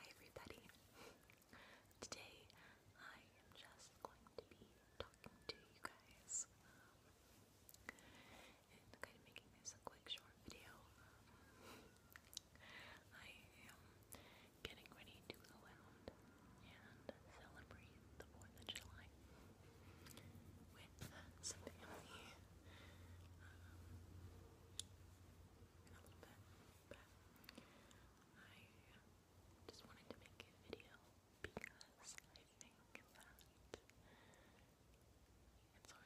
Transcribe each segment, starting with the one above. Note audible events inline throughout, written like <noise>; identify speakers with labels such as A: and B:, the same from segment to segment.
A: Hi everybody. Today I am just going to be talking to you guys and kind of making this a quick short video. I am getting ready to go out and celebrate the 4th of July with some family. Um, in I just wanted to make a video because I think that it's always good to make one. and I know I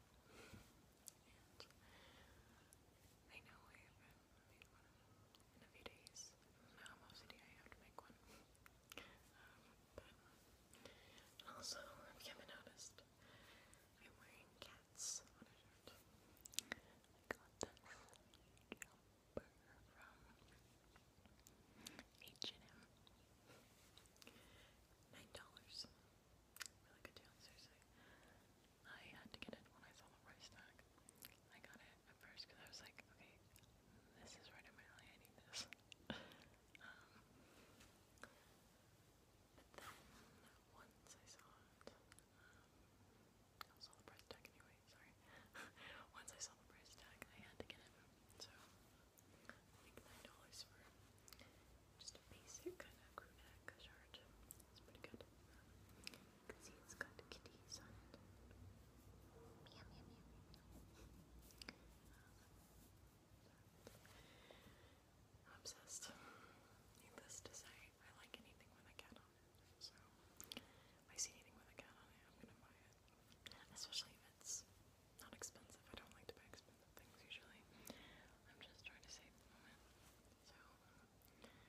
A: haven't made one in a few days. Now I'm OCD, I have to make one. <laughs> Um, but also, if you haven't noticed, I'm wearing cats I got this jumper from H&M. Nine dollars. Really good deal, I had to get it when I saw the price tag. I got it at first because I was like, okay, this is right in my alley, I need this. <laughs> Um, but then once I saw it, um, I saw the price tag anyway, sorry. once I saw the price tag, I had to get it. So, I think $9 for just a basic kind of crew neck shirt. It's pretty good. You can see it's got kitties on it. Meow, meow, meow. Um, obsessed. Needless to say, I like anything with a cat on it. So I see anything with a cat on it, I'm gonna buy it. Especially if it's not expensive. I don't like to buy expensive things usually. I'm just trying to save the moment. So um,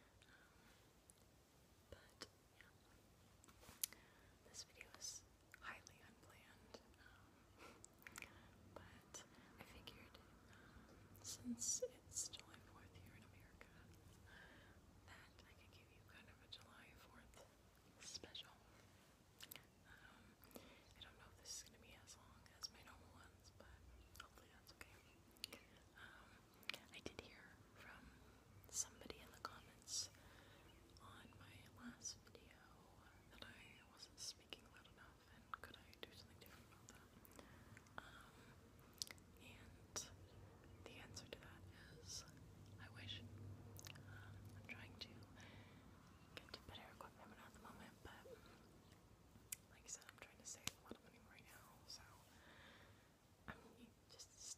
A: but yeah. This video is highly unplanned. Um, but I figured um, since it's July 4th here in America, that I could give you kind of a July 4th special. Um, I don't know if this is going to be as long as my normal ones, but hopefully that's okay. I did hear from somebody in the comments on my last video that I wasn't speaking loud enough and could I do something different about that? Um, and the answer to that is I wish. Um, I'm trying to get to better equipment at the moment, but like I said, I'm trying to save a lot of money right now, so I'm just was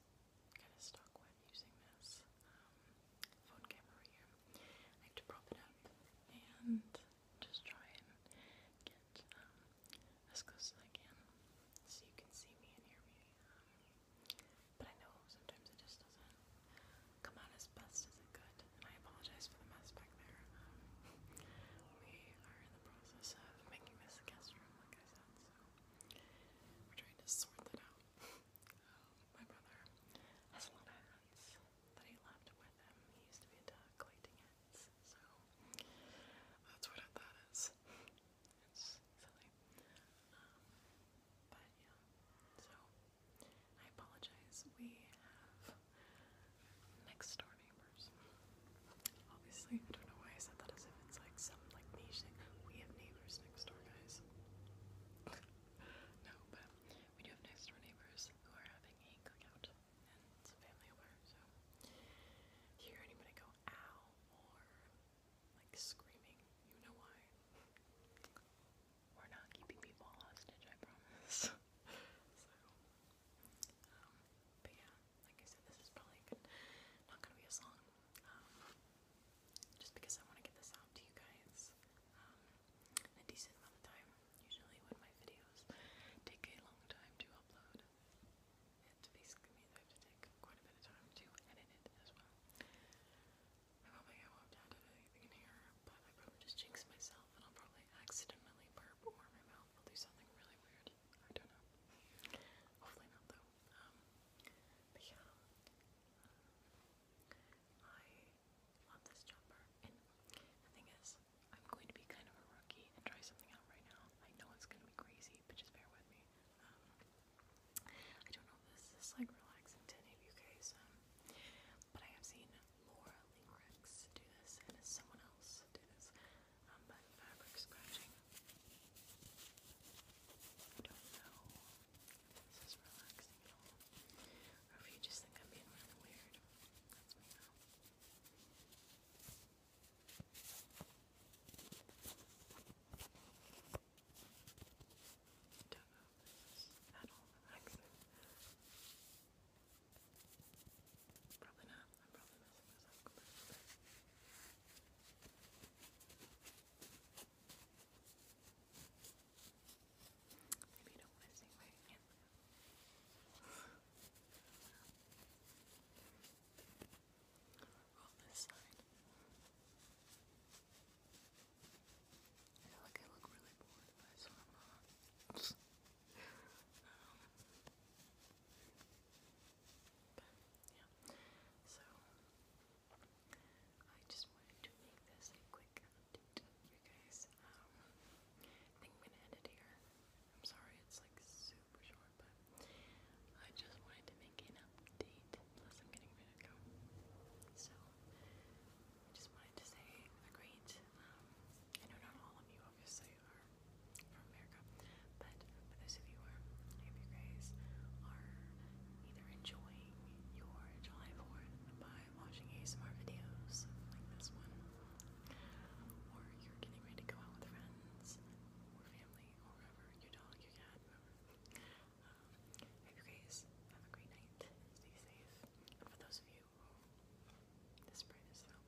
A: kind of stuck when using this um, phone camera here. I have to prop it up and just try and get um, as close as I can so you can see me and hear me. Um, but I know sometimes it just doesn't come out as best as it could, and I apologize for the mess back there. we are in the process of making this a guest room, like I said, so we're trying to sort that out. <laughs> My brother has a lot of hats that he left with him. He used to be collecting hats, so that's what that is. It's silly. Um, but yeah, so I apologize. We have next door neighbors. Obviously, I don't know why I said that as if it's like sound like me saying, we have neighbors next door, guys. <laughs> no, but we do have next door neighbors who are having a cookout, and it's a family over, so if you hear anybody go ow or like screaming, you know why. We're not keeping people hostage, I promise. <laughs> so, um, but yeah, like I said, this is probably not gonna be as long, um, just because I want to get this out to you guys in um, a decent amount of time. Usually, when my videos take a long time to upload, it basically means to take quite a bit of time to edit it as well. I don't think I won't add anything in here, but I probably just jinx myself and I'll probably accidentally burp or my mouth will do something really weird. I don't know. Hopefully not though. Um, but yeah, I love this jumper, and the thing is, I'm going to be kind of a rookie and try something out right now. I know it's going to be crazy, but just bear with me. Um, I don't know if this is like relaxing to any of you guys, um, but I have seen Laura Lingrix do this, and someone else do this um, but fabric scratching. I don't know if this is relaxing at all, or if you just think I'm being really weird. That's me now. I don't know if this is at all relaxing. I Probably not. I'm probably messing this up Maybe you don't want to see my hand. On <laughs> this side. I feel like I look really bored, but I swear um, so I just wanted to make this a quick update for you guys. I think I'm gonna end it here. I'm sorry it's like super short, but I just wanted to make an update. Plus, I'm getting ready to go. So, I just wanted to say a um, I know not all of you obviously are from America, but for those of you who are, I you guys are either enjoying your July 4th by watching ASMR videos like this one, or you're getting ready to go out with friends or family or whoever, your dog, your cat, whoever. Um, you guys have a great night, stay safe, for those of you this brightness though,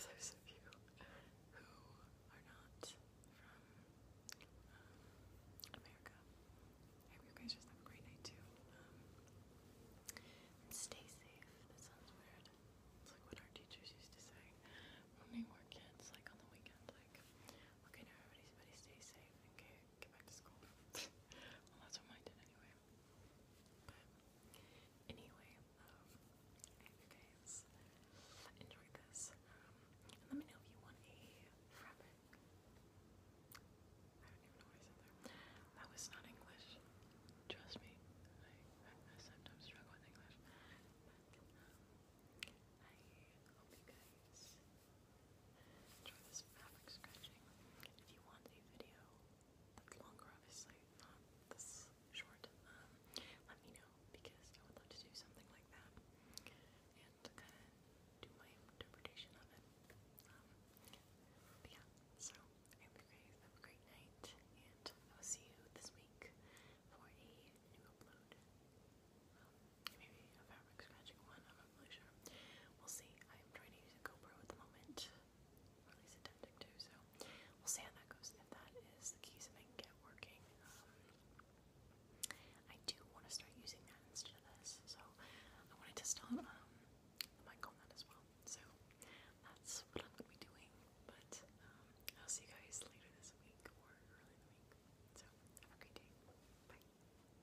A: for those of you who are not from um, America. I you guys just have a great night too. Um, stay safe. That sounds weird. It's like what our teachers used to say when we were kids, like on the weekend, like, okay now everybody, stay safe and get, back to school. <laughs> well that's what mine did anyway. Anyway, hope um, you guys enjoyed this. Um, let me know if you want a frappet. I don't even know what I said there. That was not English. Trust me, I, sometimes struggle with English. But um, I hope you guys enjoy this fabric scratching. If you want a video that's longer, obviously, not this short, um, let me know because I would love to do something like that and do my interpretation of it. Um, yeah, so I hope you guys have a great night, and I will see you this week for a new upload. Um, maybe a Fabric's Magic one, I'm not really sure. We'll see. I am trying to use a GoPro at the moment. at least attempting to, so we'll see how that goes. If that is the key something I get working. Um, I do want to start using that instead of this, so I want to test out um, the mic that as well. So that's what I'm going to be doing, but um, I'll see you guys later this week or early in week. So have a great day. Bye.